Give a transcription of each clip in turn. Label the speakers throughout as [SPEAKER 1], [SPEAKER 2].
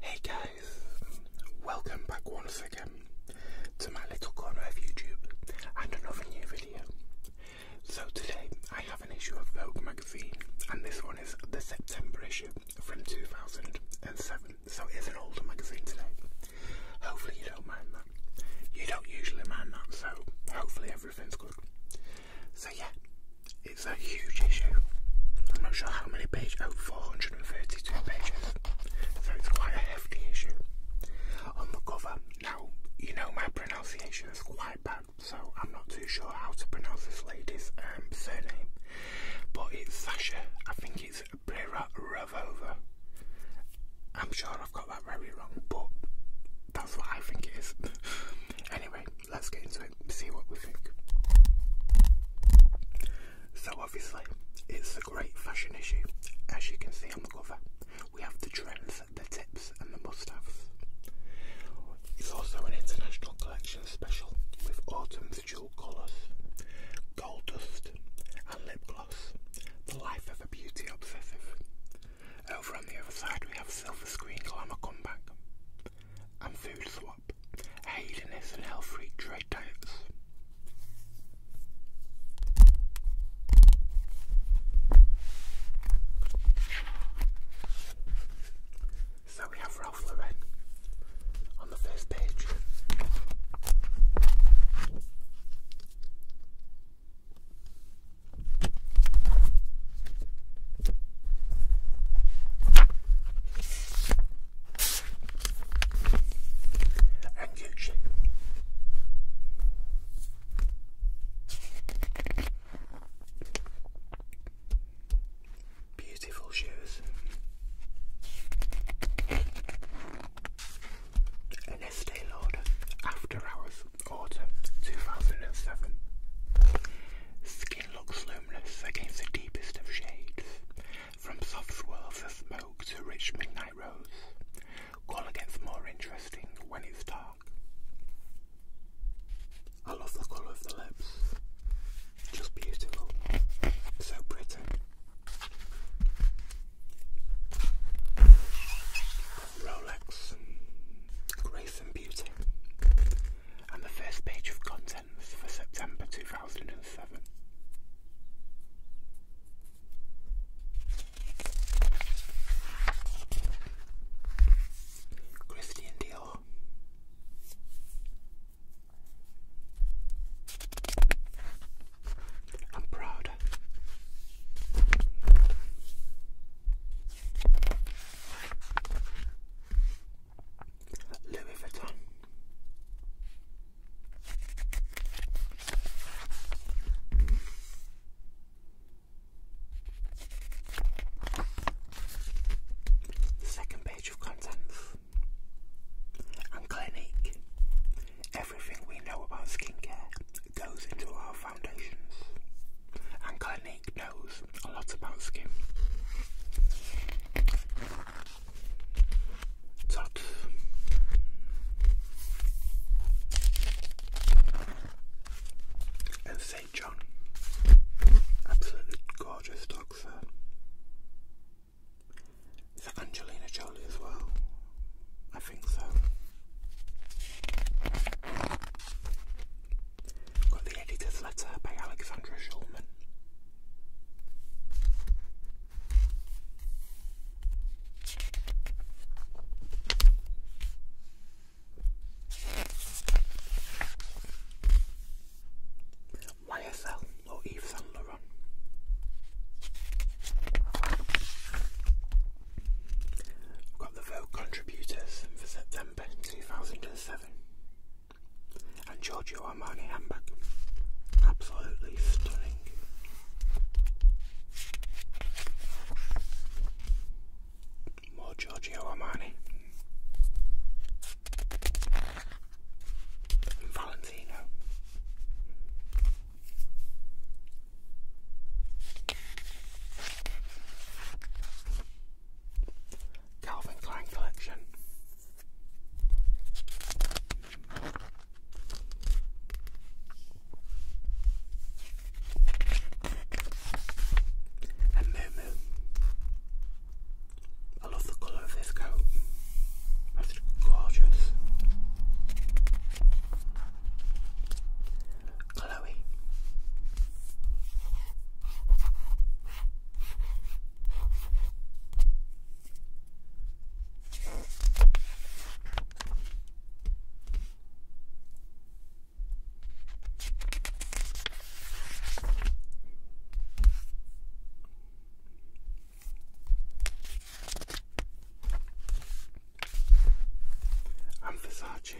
[SPEAKER 1] Hey guys, welcome back once again to my little corner of YouTube and another new video. So today I have an issue of Vogue magazine and this one is the September issue from 2007 so it is an older magazine today. Hopefully you don't mind that. You don't usually mind that, so hopefully everything's good. So yeah, it's a huge issue. I'm not sure how many pages, oh 432 pages. So it's quite a hefty issue. On the cover, now you know my pronunciation is quite bad, so I'm not too sure how to pronounce this lady's um, surname. But it's Sasha, I think it's Brera Ravova. I'm sure I've got that very wrong, but that's what I think it is. anyway, let's get into it, see what we think. So, obviously, it's a great fashion issue. As you can see on the cover, we have the trends, the tips, and the must haves. It's also an international collection special with autumn's jewel colours, gold dust, and lip gloss. The Life of a Beauty Obsessive. Over on the other side, we have Silver Screen Glamour Comeback and Food Swap, Hedonist and Health Freak Trade Diets. So we have Ralph Lauren on the first page and Gucci. Beautiful shoes an Estee Lauder After Hours Autumn 2007. Skin looks luminous against the deepest of shades, from soft swirls of smoke to rich midnight rose. Colour gets more interesting when it's dark. I love the colour of the lips. Just beautiful. So pretty. Rolex Grace and Beauty. And the first page of contents for September 2007. Christian Dior. I'm proud. Louis Vuitton. Second page of contents and Clinique. Everything we know about skincare goes into our foundations. And Clinique knows a lot about skin. Tots. And St. John. Absolutely gorgeous dogs there. Is that Angelina Jolie as well? I think Got the editor's letter by Alexandra Schulman. YSL or Yves Saint I've got the Vogue contributors for September 2007 and Giorgio Armani handbag. Absolutely stunning. More Giorgio Armani. Valentino. Calvin Klein collection. And Moo I love the colour of this coat. It's gorgeous. Chloe. I'm Versace.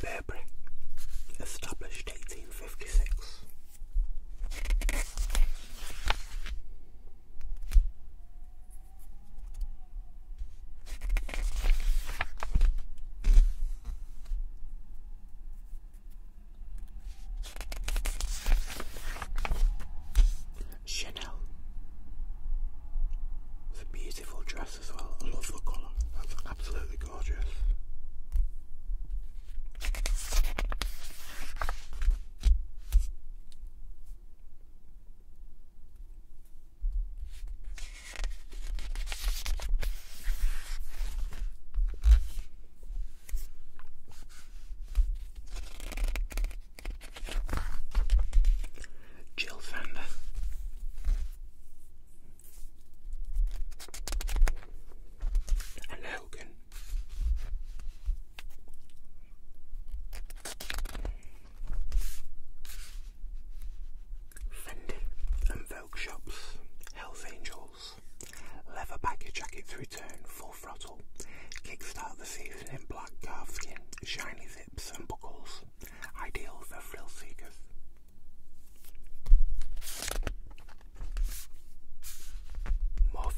[SPEAKER 1] Burberry, established 1856. Chanel. It's a beautiful dress as well. I love the colour. That's absolutely gorgeous. Jill Fender. And Hogan. Fendi and Virgil. Oak Shops, Hells Angels, Leather Baggy Jackets Return, Full Throttle, Kickstart the Season in Black Calf Skin, Shiny Zips and Buckles, ideal for thrill seekers. More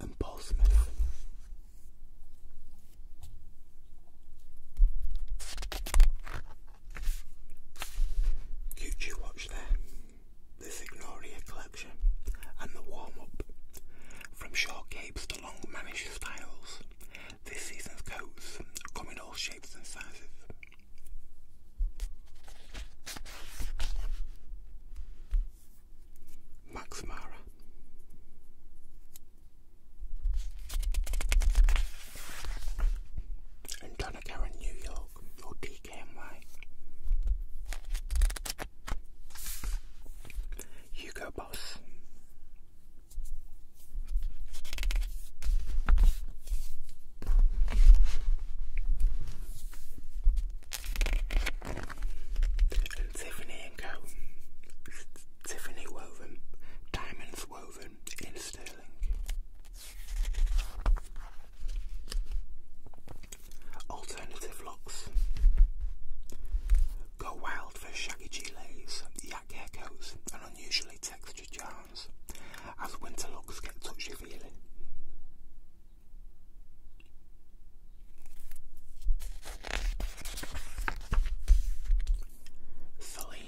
[SPEAKER 1] and Paul Smith. Cute watch there. This Ignoria collection and the warm-up. From short capes to long mannish styles. This season's coats come in all shapes and sizes. Max Mara. And New York, or DKNY. Hugo Boss. Tiffany and Co. Tiffany woven, diamonds woven in sterling. Alternative looks. Go wild for shaggy gilets, yak hair coats, and unusually textured yarn as winter looks get touchy feely. Celine.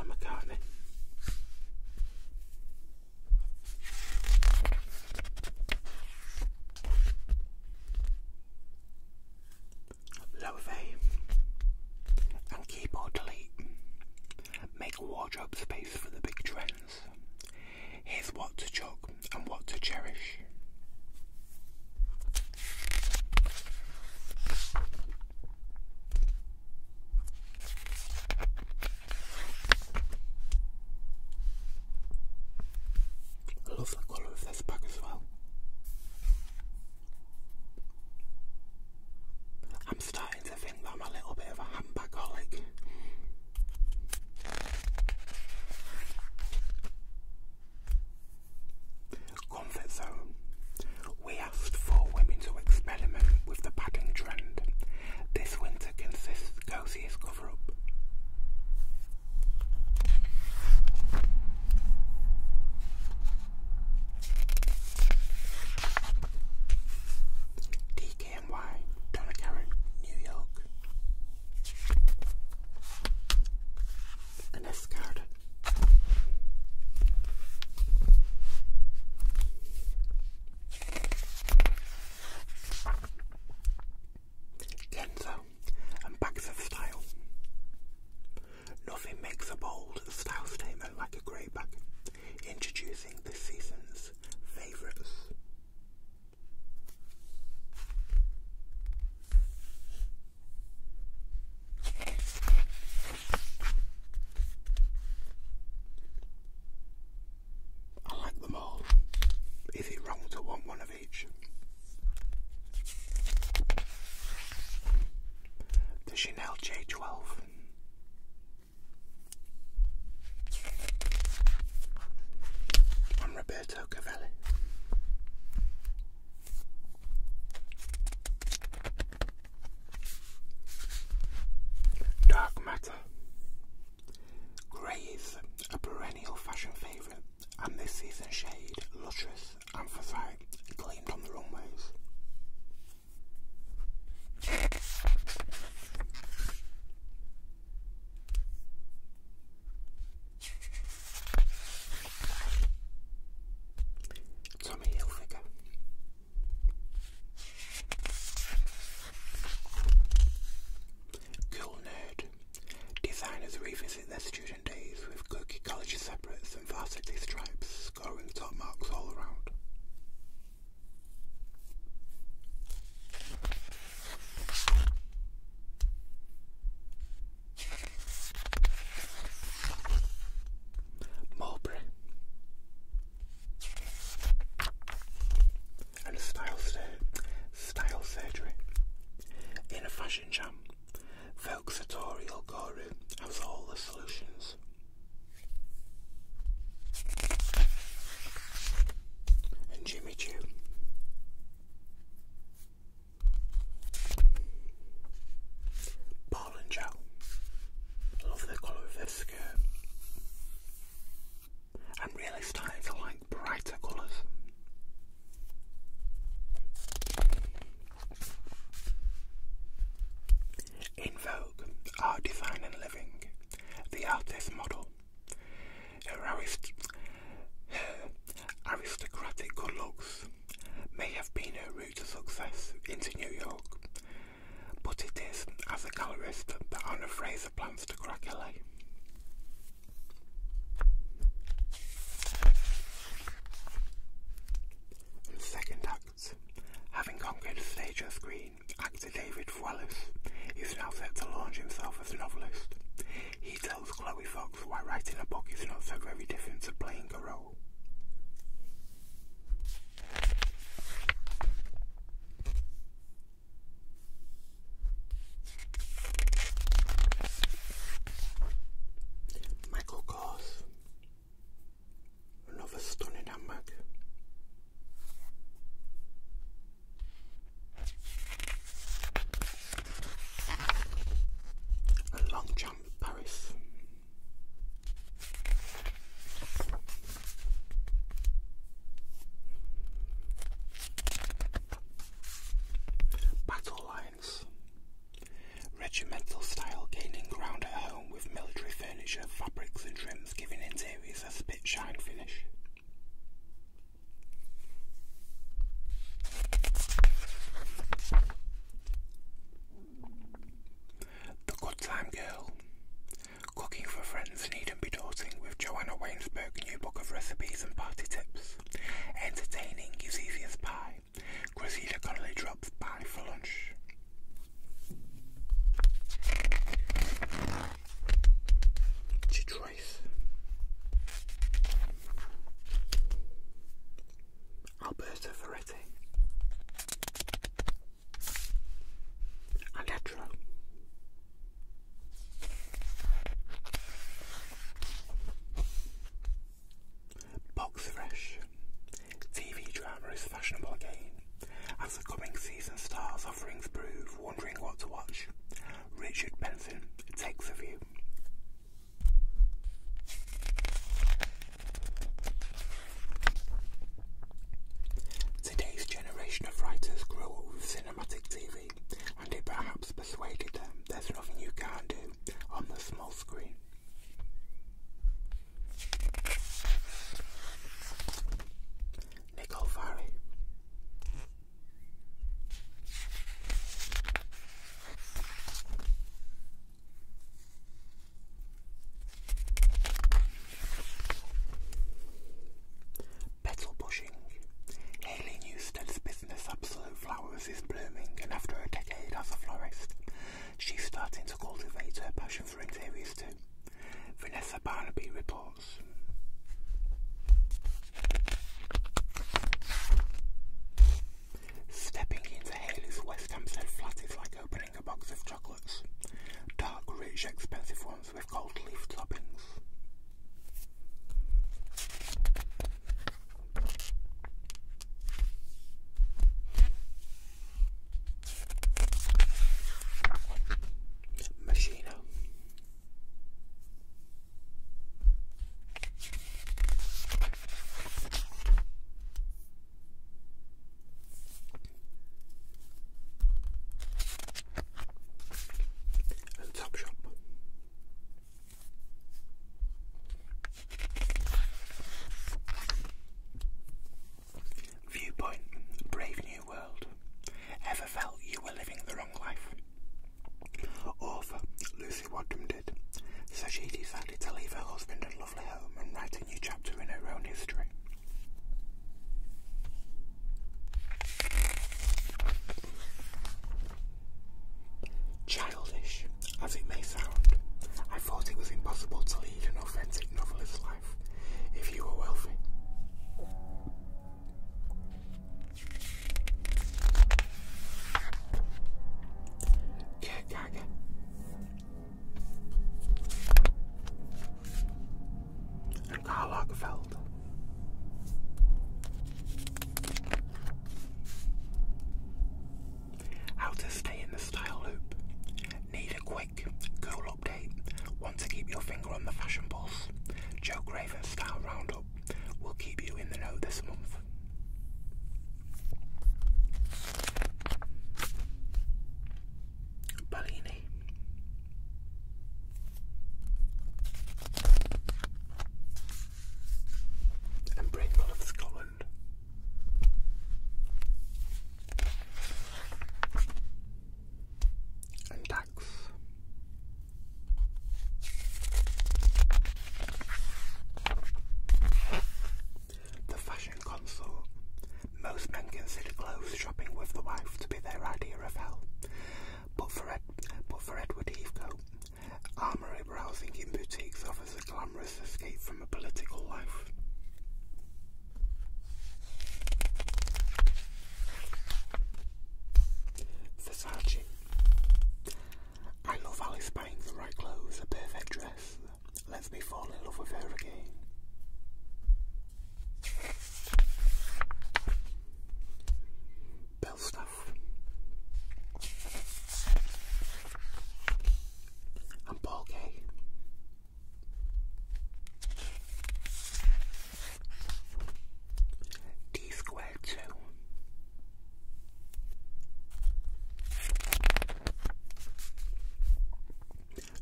[SPEAKER 1] And McCartney. Loathing, and keyboard delete make wardrobe space for the big trends. Here's what to chuck and what to cherish. I love the colour of this pack as well. I'm starting to think I'm a little bit of a handbagaholic. Comfort zone. We asked four women to experiment with the padding trend. This winter consists coziest cover up. DKNY, Donna Karen, New York. An Kenzo and Baxter Style. Nothing makes a bold style statement like a greyback. Introducing the season's favourites. I like them all. Is it wrong to want one of the Chanel J12. I'm Roberto Cavalli. Dark Matter. Grays, a perennial fashion favourite and this season shade, lustrous anthracite, gleamed on the runways. Tommy Hilfiger. Cool Designers revisit their student days with Gurkha College separates and varsity stripes, scoring top marks all around. Mulberry and style surgery. In a fashion jam, Vogue's tutorial guru has all the solutions. And Jimmy Choo. Paul and Love the colour of their skirt. I'm really starting to like brighter colours. In Vogue, Art, Design and Living, the artist model, her, aristocratic good looks may have been her route to success into New York, but it is as a colorist that Anna Fraser plans to crack LA. The second act. Having conquered stage and screen, actor David Thewlis is now set to launch himself as a novelist. He tells Chloe Fox why writing a book is not so very different to playing a role. Michael Kors, another stunning handbag. A long jump, Paris. Battle lines. Regimental style gaining ground at home with military furniture, fabrics and trims giving interiors a spit shine finish. The Good Time Girl. Cooking for friends needn't be daunting with Joanna Wainsberg new book of recipes and party tips. Entertaining is easy pie. Cressida Connolly drops by for lunch. Detroit. Alberta Ferretti. And Box Fresh. TV drama is fashionable again, as the coming season stars offerings prove wondering what to watch. Richard Benson takes a view. Today's generation of writers grow up with cinematic TV and it perhaps persuaded them there's nothing you can do on the small screen. Nicole Petal pushing. Haley Newstead's this Absolute flower is blooming and after a decade as a florist, she's starting to cultivate her passion for interiors too. Vanessa Barnaby reports. Stepping into Haley's West Hampstead flat is like opening a box of chocolates. Dark, rich, expensive ones with gold leaf toppings. Machino. And Topshop. Viewpoint Brave New World. Ever felt you were living the wrong life? Author Lucy Wadham did, so she decided to leave her husband and lovely home and write a new chapter in her own history. Childish as it may sound, I thought it was impossible to lead an authentic novelist's life if you were wealthy. Kierkegaard. And Karl Lagerfeld. How to stay in the style loop. Need a quick, cool update? Want to keep your finger on the fashion pulse? Joe Graven Style Roundup will keep you in the know this month. Bellini and of Scotland. And tax. The fashion console. Most men consider clothes shopping with the wife to be their idea of hell. But for, but for Edward Heathcote, armoury browsing in boutiques offers a glamorous escape from a political life. Versace. I love Alice buying the right clothes, a perfect dress. Lets me fall in love with her again. Bellstar. Huff. And Paul Gay. D squared two.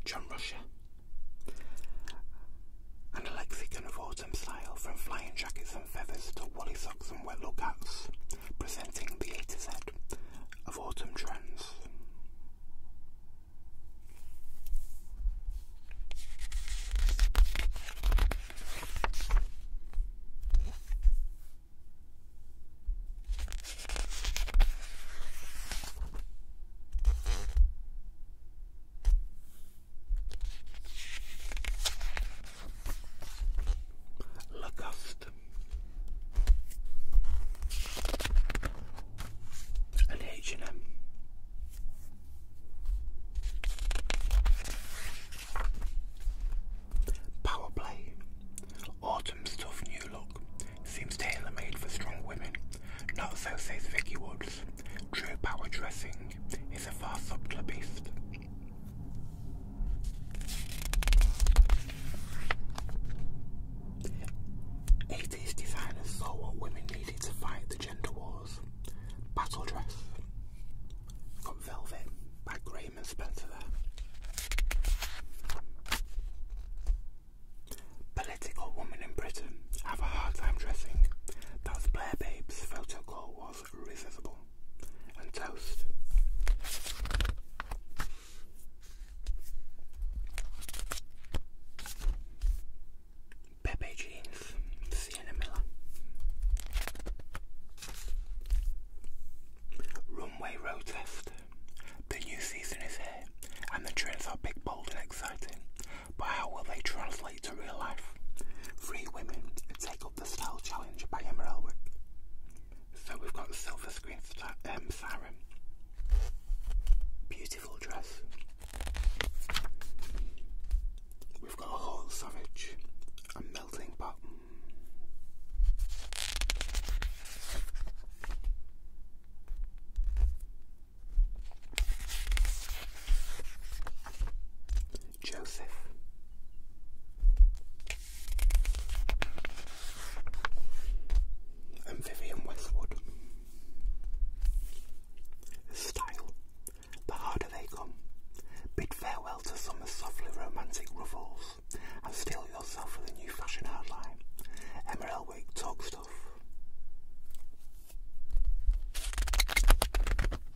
[SPEAKER 1] John Russia and a lexicon of autumn style from flying jackets and feathers to woolly socks and wet lookouts, presenting the A to Z of autumn trends. Lagusta. An H&M. Power Play. Autumn stuff new look. Seems tailor made for strong women. Not so says Vicky Woods. True power dressing. It's a far subtler beast. Eighties designers saw what women needed to fight the gender wars. Battle dress from Velvet by Graham Spencer. Political women in Britain have a hard time dressing. That's Blair Babe's photo was resiscible and toast. Pepe Jeans, Sienna Miller. Runway road test. The new season is here, and the trends are big, bold, and exciting but how will they translate to real life? Three women take up the style challenge by Emma So we've got Silver Screen star, um, Siren. Beautiful dress. We've got a whole savage, a melting pot. Joseph and Vivian Westwood. Style. The harder they come. Bid farewell to summer's softly romantic ruffles and steel yourself a new fashion hardline. Emma Elwick, talk stuff.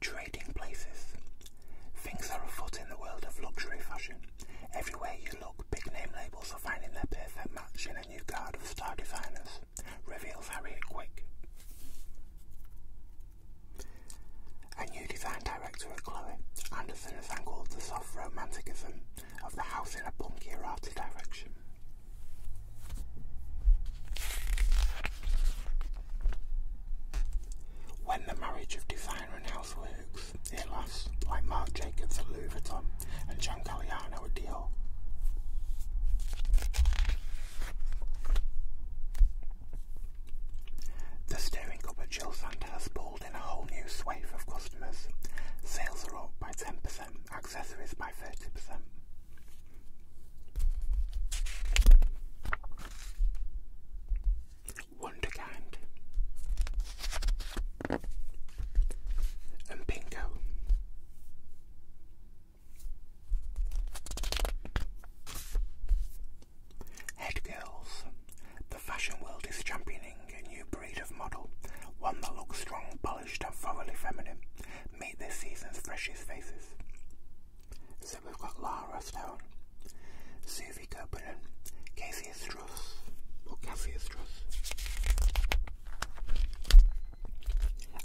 [SPEAKER 1] Trading places. Things are afoot in the world of luxury fashion. Everywhere you look, big name labels are finding their perfect match in a new guard of star designers, reveals Harry Quick. A new design director at Chloe, Anderson has angled the soft romanticism of the house in a punkier arty direction. When the marriage of designer and houseworks, it lasts like Marc Jacobs at Louis Vuitton and Giancarlo at The staring up at Jill Sander has pulled in a whole new swathe of customers. Sales are up by 10%, accessories by 30%. Wonderkind and Pinko. Head The fashion world is championing a new breed of model, one that looks strong, polished, and thoroughly feminine. Meet this season's freshest faces. So we've got Lara Stone, Sophie Copeland, Casey Struss, or oh, Cassie Struss,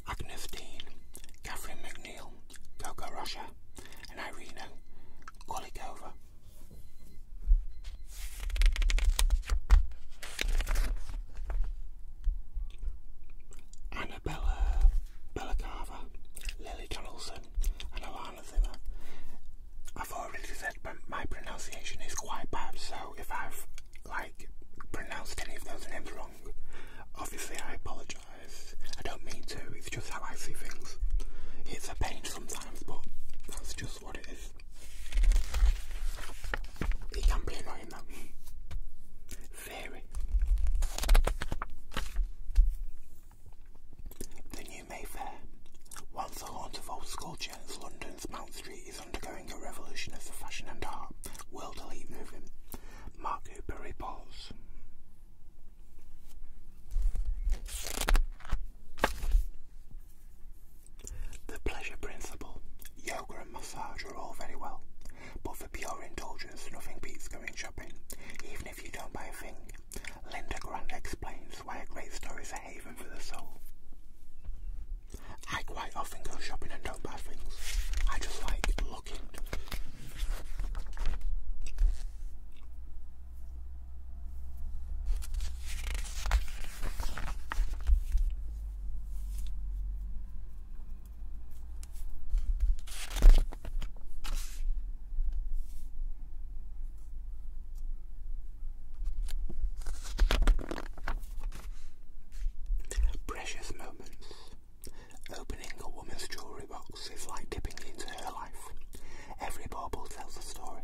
[SPEAKER 1] Agnes Dean, Catherine McNeil, Coco Rocha, and Irina Kolikova. Annabella Bellicava, Lily Donaldson, and Alana Zimmer. I've already said my pronunciation is quite bad, so if I've like pronounced any of those names wrong, obviously I apologise. I don't mean to, it's just how I see things. It's a pain sometimes, but that's just what it is. It can be annoying the new Mayfair, once the haunt of old sculpture, as London's Mount Street is undergoing a revolution of the fashion and art world elite movement. Mark Hooper reports. The pleasure principle, yoga and massage are all very well, but for pure indulgence, nothing beats going shopping, even if you don't buy a thing. Linda Grant explains why a great store is a haven for the soul. I quite often go shopping and don't buy things. I just like looking. Precious moments. Opening a woman's jewellery box is like dipping into her life. Every bauble tells a story.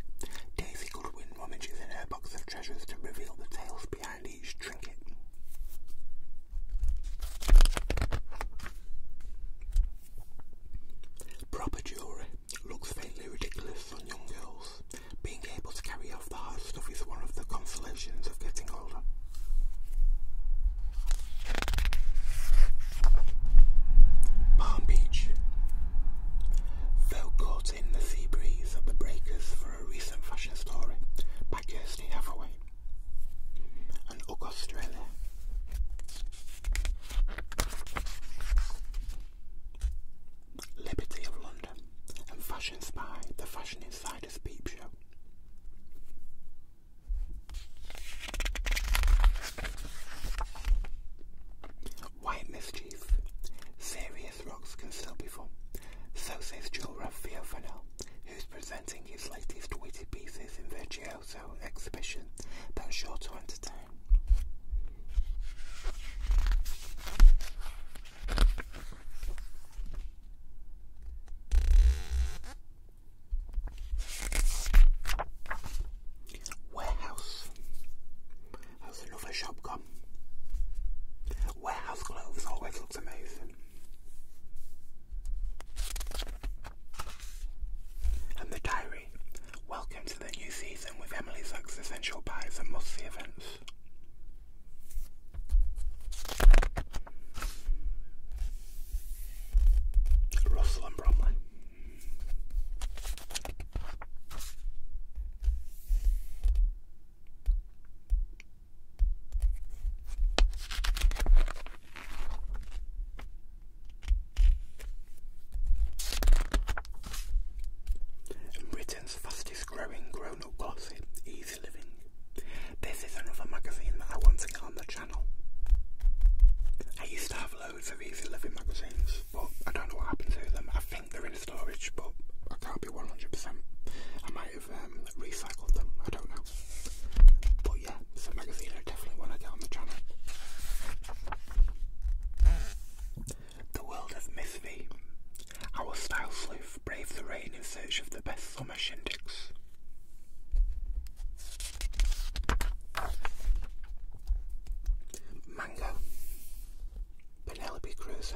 [SPEAKER 1] Daisy Goodwin rummages in her box of treasures to reveal the tales behind each Proper jewellery looks faintly ridiculous on young girls. Being able to carry off the hard stuff is one of the consolations of getting older. Palm Beach. Though caught in the sea breeze at the breakers for a recent fashion story by Kirsty Hathaway and Ugg Australia. Liberty of London and Fashion Spy, the Fashion Insider's peep show. White Mischief, serious rocks can still be fun. So says Joel Raffio Fennell, presenting his latest witty pieces in virtuoso exhibition that is sure to entertain. Warehouse. How's another shop gone? Warehouse clothes always looks amazing. And the diary. Welcome to the new season with Emily's existential essential and must-see events. Russell and Bromley. Britain's fastest growing grown up gossip, Easy Living. This is another magazine that I want to get on the channel. I used to have loads of Easy Living magazines, but I don't know what happened to them. I think they're in storage, but I can't be 100%. Um, I don't know. the channel. The World of Our style sleuth braved the rain in search of the best summer shindigs. Mango. Penelope Cruiser.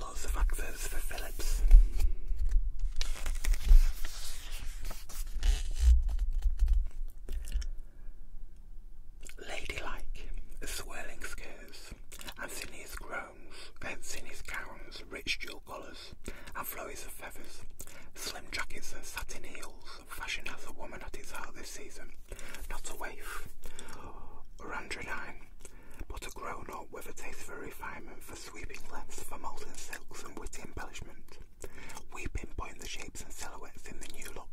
[SPEAKER 1] Lots of accents for Phillips. Ladylike, a swirling skirts, and Anthony's and Anthony's gowns, rich jewel collars, and flurries of feathers, slim jackets and satin heels, fashion has a woman at its heart this season, not a waif, or androgyne, but a grown up with a taste for refinement, for sweeping lengths, for molten silks and witty embellishment. We point the shapes and silhouettes in the new look,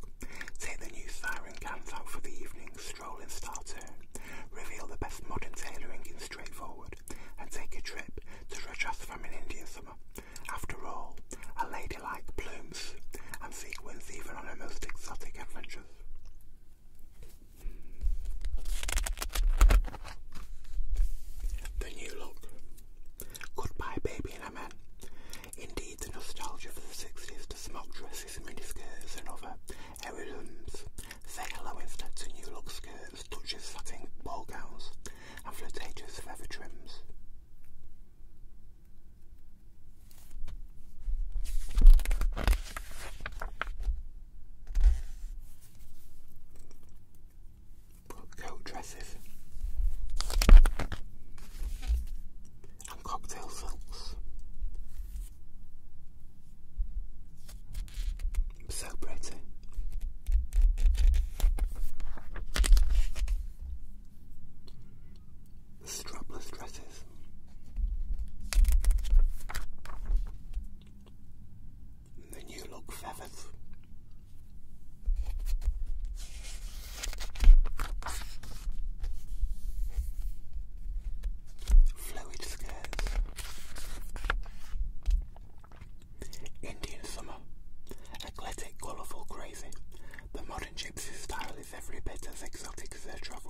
[SPEAKER 1] take the new siren cans out for the evening, stroll in star turn, reveal the best modern tailoring in straightforward, and take a trip to Rajas from an Indian summer. After all, a lady like plumes and sequins even on her most exotic adventures. The new look. Goodbye, baby and amen. Indeed, the nostalgia for the 60s to smock dresses, and miniskirts, and other heirlooms. Say hello instead to new look skirts, touches, satin ball gowns, and flirtatious leather trims coat dresses and cocktail silks. So pretty. strapless dresses the new look feathers. Fluid skirts. Indian summer. Eclectic, colourful, crazy. The modern gypsy style is every bit as exotic make their travels.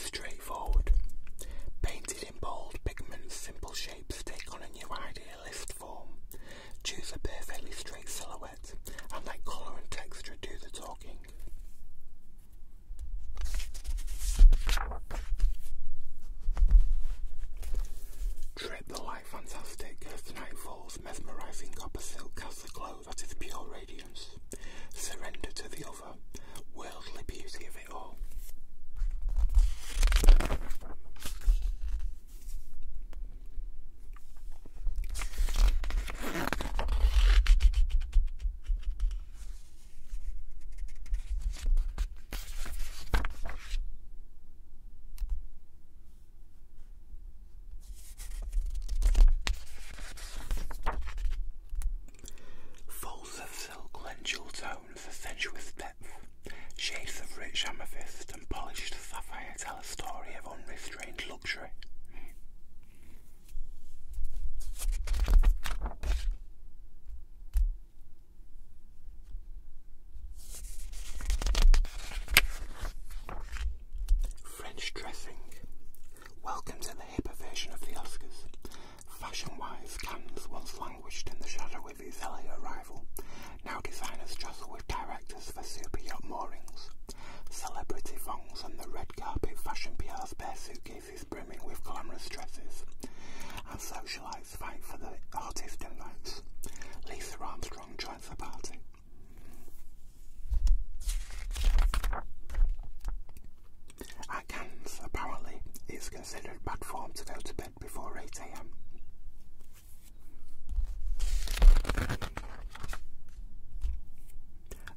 [SPEAKER 1] Straightforward. Painted in bold pigments, simple shapes take on a new idealist form. Choose a perfectly straight silhouette and let colour and texture do the talking. Tread the light fantastic as the night falls, mesmerising copper silk has the glow that is pure radiance. Surrender to the other, worldly beauty of it all. Folds of silk lend jewel tones, a sensuous depth. Shades of rich amethyst and polished sapphire tell a story of unrestrained luxury. French dressing. Welcome to the hipper version of the Oscars. Fashion-wise, Cannes once languished in the shadow of its early arrival. Now designers jostle with directors for super yacht moorings. Celebrity thongs and the red carpet fashion PR's bare suitcase is brimming with glamorous dresses and socialites fight for the artist invites. Lisa Armstrong joins the party. At apparently, it's considered bad form to go to bed before 8am.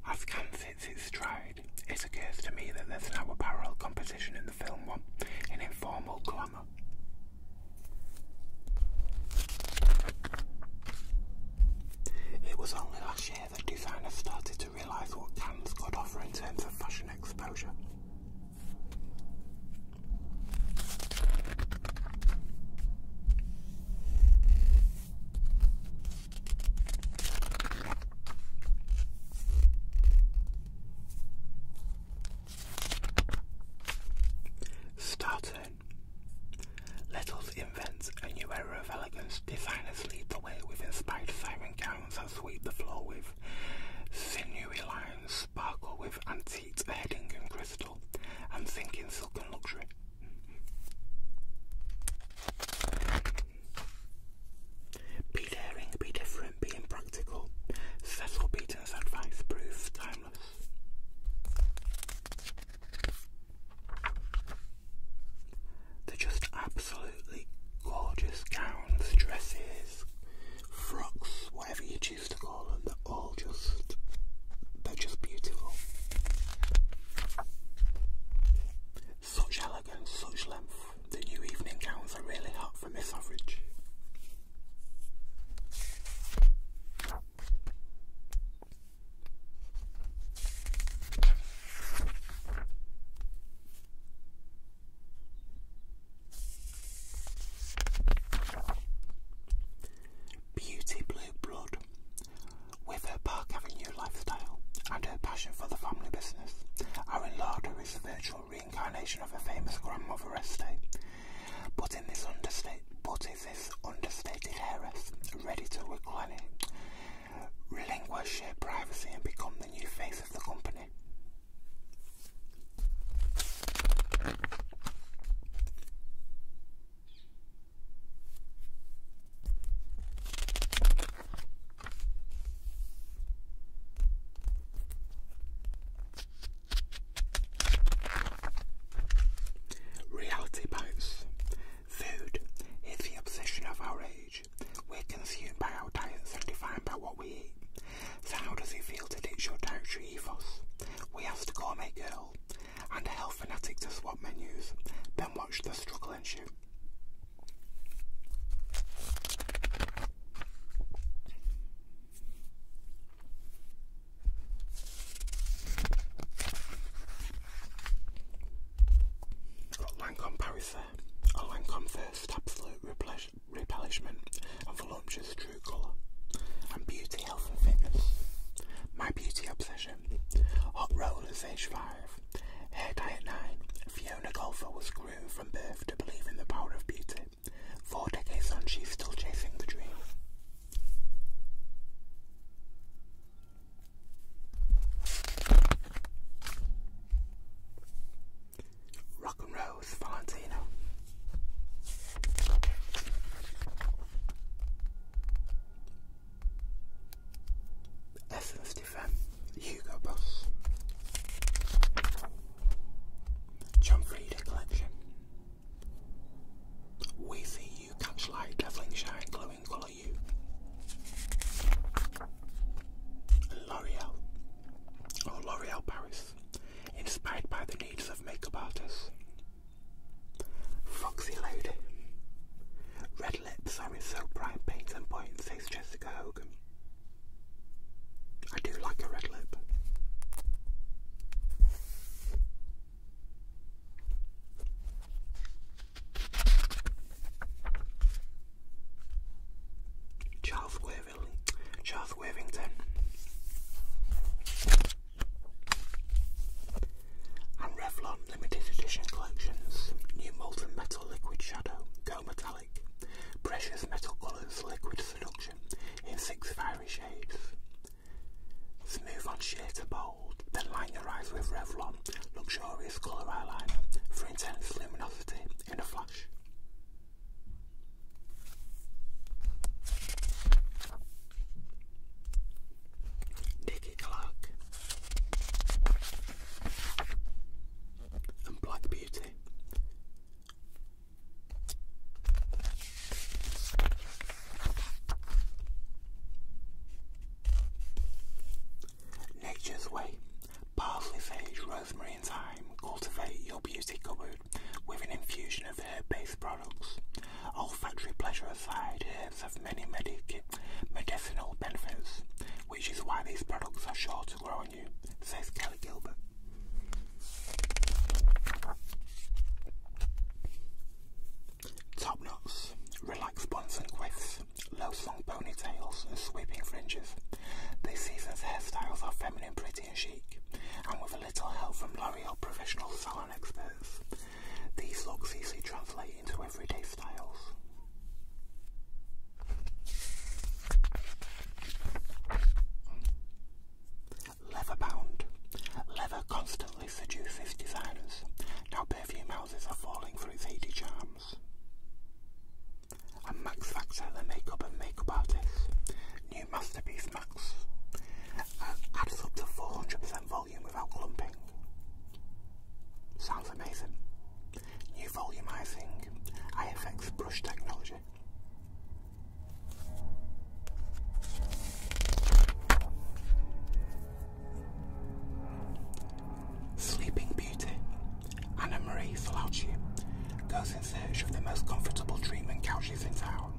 [SPEAKER 1] As Cannes hits it occurs to me that there's now a parallel competition in the film one, an informal glamour. It was only last year that designers started to realise what Cannes could offer in terms of fashion exposure. Starting. us invent a new era of elegance. Designers lead the way with inspired siren gowns that sweep the floor with sinewy lines, sparkle with antiques heading and crystal, and sink in silk and luxury. Be daring, be different, be impractical. Cecil Beaton's advice proves timeless. They're just absolutely gorgeous gowns, dresses, frocks, whatever you choose to call them. They're all just, they're just beautiful. Such elegance, such length. The new evening gowns are really hot for Miss Average. Beauty Blue Blood. With her Park Avenue lifestyle and her passion for the family business, Erin Lauder is the virtual reincarnation of a famous grandmother estate. But in this understate, but is this understated heiress ready to relinquish her privacy and become the new face of the company? Reality bites. Food is the obsession of our age. We're consumed by our diets and defined by what we eat. So how does it feel to ditch your dietary ethos? We asked a gourmet girl and a health fanatic to swap menus, then watch the struggle ensue. It's Lancome Paris Lancome First Absolute Replesh Replenishment, and for True Colour, and Beauty, Health and Fitness, My Beauty Obsession, Hot Rollers Age 5, Hair Diet 9, Fiona Golfer was grew from birth to believe in the power of beauty. Four decades on, she's still chasing the dream. Rock and Rose Valentino. Essence Stefan, Hugo Boss, John Frieda Collection, We See You, Catchlight, Dazzling Shine, Glowing Colour You, L'Oreal, or oh, L'Oreal Paris, inspired by the needs of makeup artists. Foxy Lady. Red lips are in so bright, paint and point, says Jessica Hogan. I do like a red lip. Charles Worthington. Charles Worthington. And Revlon Limited Edition Collections New Molten Metal Liquid Shadow Go Metallic precious metal colours, liquid seduction in six fiery shades. Smooth on sheer to bold, then line your eyes with Revlon luxurious colour eyeliner for intense luminosity in a flash. Nikki Clark and Black Beauty. Nature's Way. Parsley, sage, rosemary and thyme cultivate your beauty cupboard with an infusion of herb-based products. Olfactory pleasure aside, herbs have many medicinal benefits, which is why these products are sure to grow on you, says Kelly Gilbert. Top knots, relaxed buns and quiffs, low slung ponytails and sweeping fringes. This season's hairstyles are feminine, pretty and chic, and with a little help from L'Oreal professional salon experts, these looks easily translate into everyday styles. Leather bound. Leather constantly seduces designers. Now perfume houses are falling for its 80 charms. And Max Factor, the makeup and makeup artist. New Masterpiece Max. Uh, adds up to 400% volume without clumping. Sounds amazing. New volumizing IFX brush technology. Sleeping Beauty. Anna Marie Falauci goes in search of the most comfortable treatment couches in town,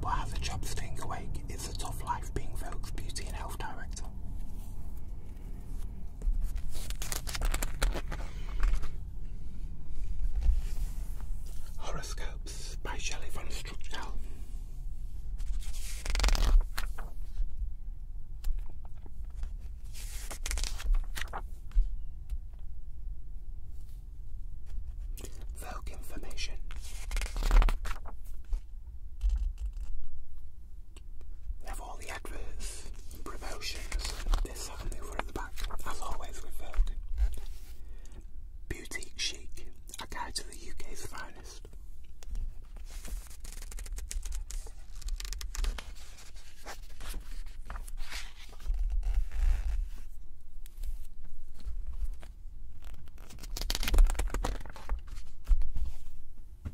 [SPEAKER 1] but has a job staying awake. It's a tough life being Vogue's beauty and health director. Horoscopes by Shelley von Struchdal. Vogue information. We have all the adverts promotions this and over at the back, as always with Vogue. Chic, a guide to the UK's finest.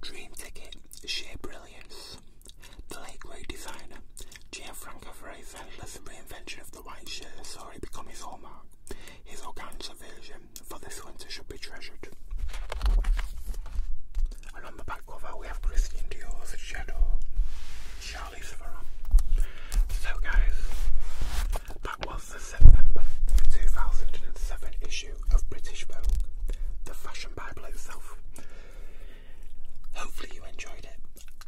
[SPEAKER 1] Dream Ticket, Sheer Brilliance. The late great designer, Gianfranco Ferrezella's reinvention of the white shirt saw it become his hallmark. His organza version for this winter should be treasured. And on the back cover we have Christian Dior's Shadow. Charlie So guys, that was the September 2007 issue of British Vogue, the fashion bible itself. Hopefully you enjoyed it.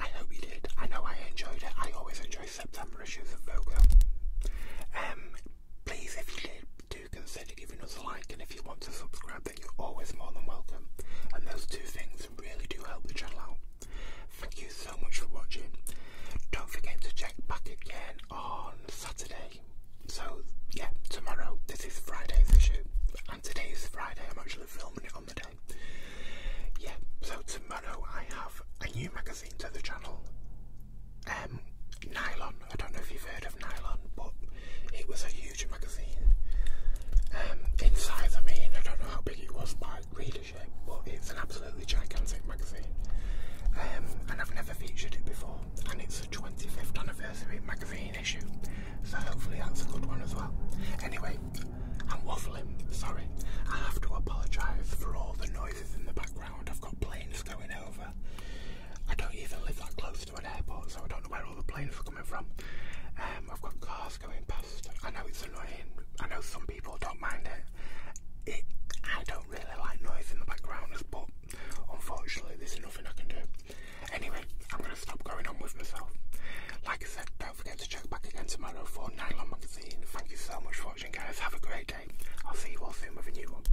[SPEAKER 1] I hope you did. I know I enjoyed it. I always enjoy September issues of Vogue. Um, please, if you did, do consider giving us a like, and if you want to subscribe, then you're always more than welcome. And those two things really do help the channel out. Thank you so much for watching. Don't forget to check back again on Saturday. So, yeah, tomorrow. This is Friday's issue. And today is Friday. I'm actually filming it on the day. Yeah, so tomorrow I have a new magazine to the channel. Um, Nylon. I don't know if you've heard of Nylon, but it was a huge huge magazine. Um, in size, I mean, I don't know how big it was by readership, but it's an absolutely gigantic magazine. Um, and I've never featured it before, and it's a 25th anniversary magazine issue, so hopefully that's a good one as well. Anyway, I'm waffling, sorry. I have to apologise for all the noises in the background. I've got planes going over. I don't even live that close to an airport, so I don't know where all the planes are coming from. Um, I've got cars going past. I know it's annoying. I know some people don't mind it. It I don't really like noise in the background, but unfortunately, there's nothing I can do. Anyway, I'm gonna stop going on with myself. Like I said, don't forget to check back again tomorrow for Nylon Magazine. Thank you so much for watching, guys. Have a great day. I'll see you all soon with a new one.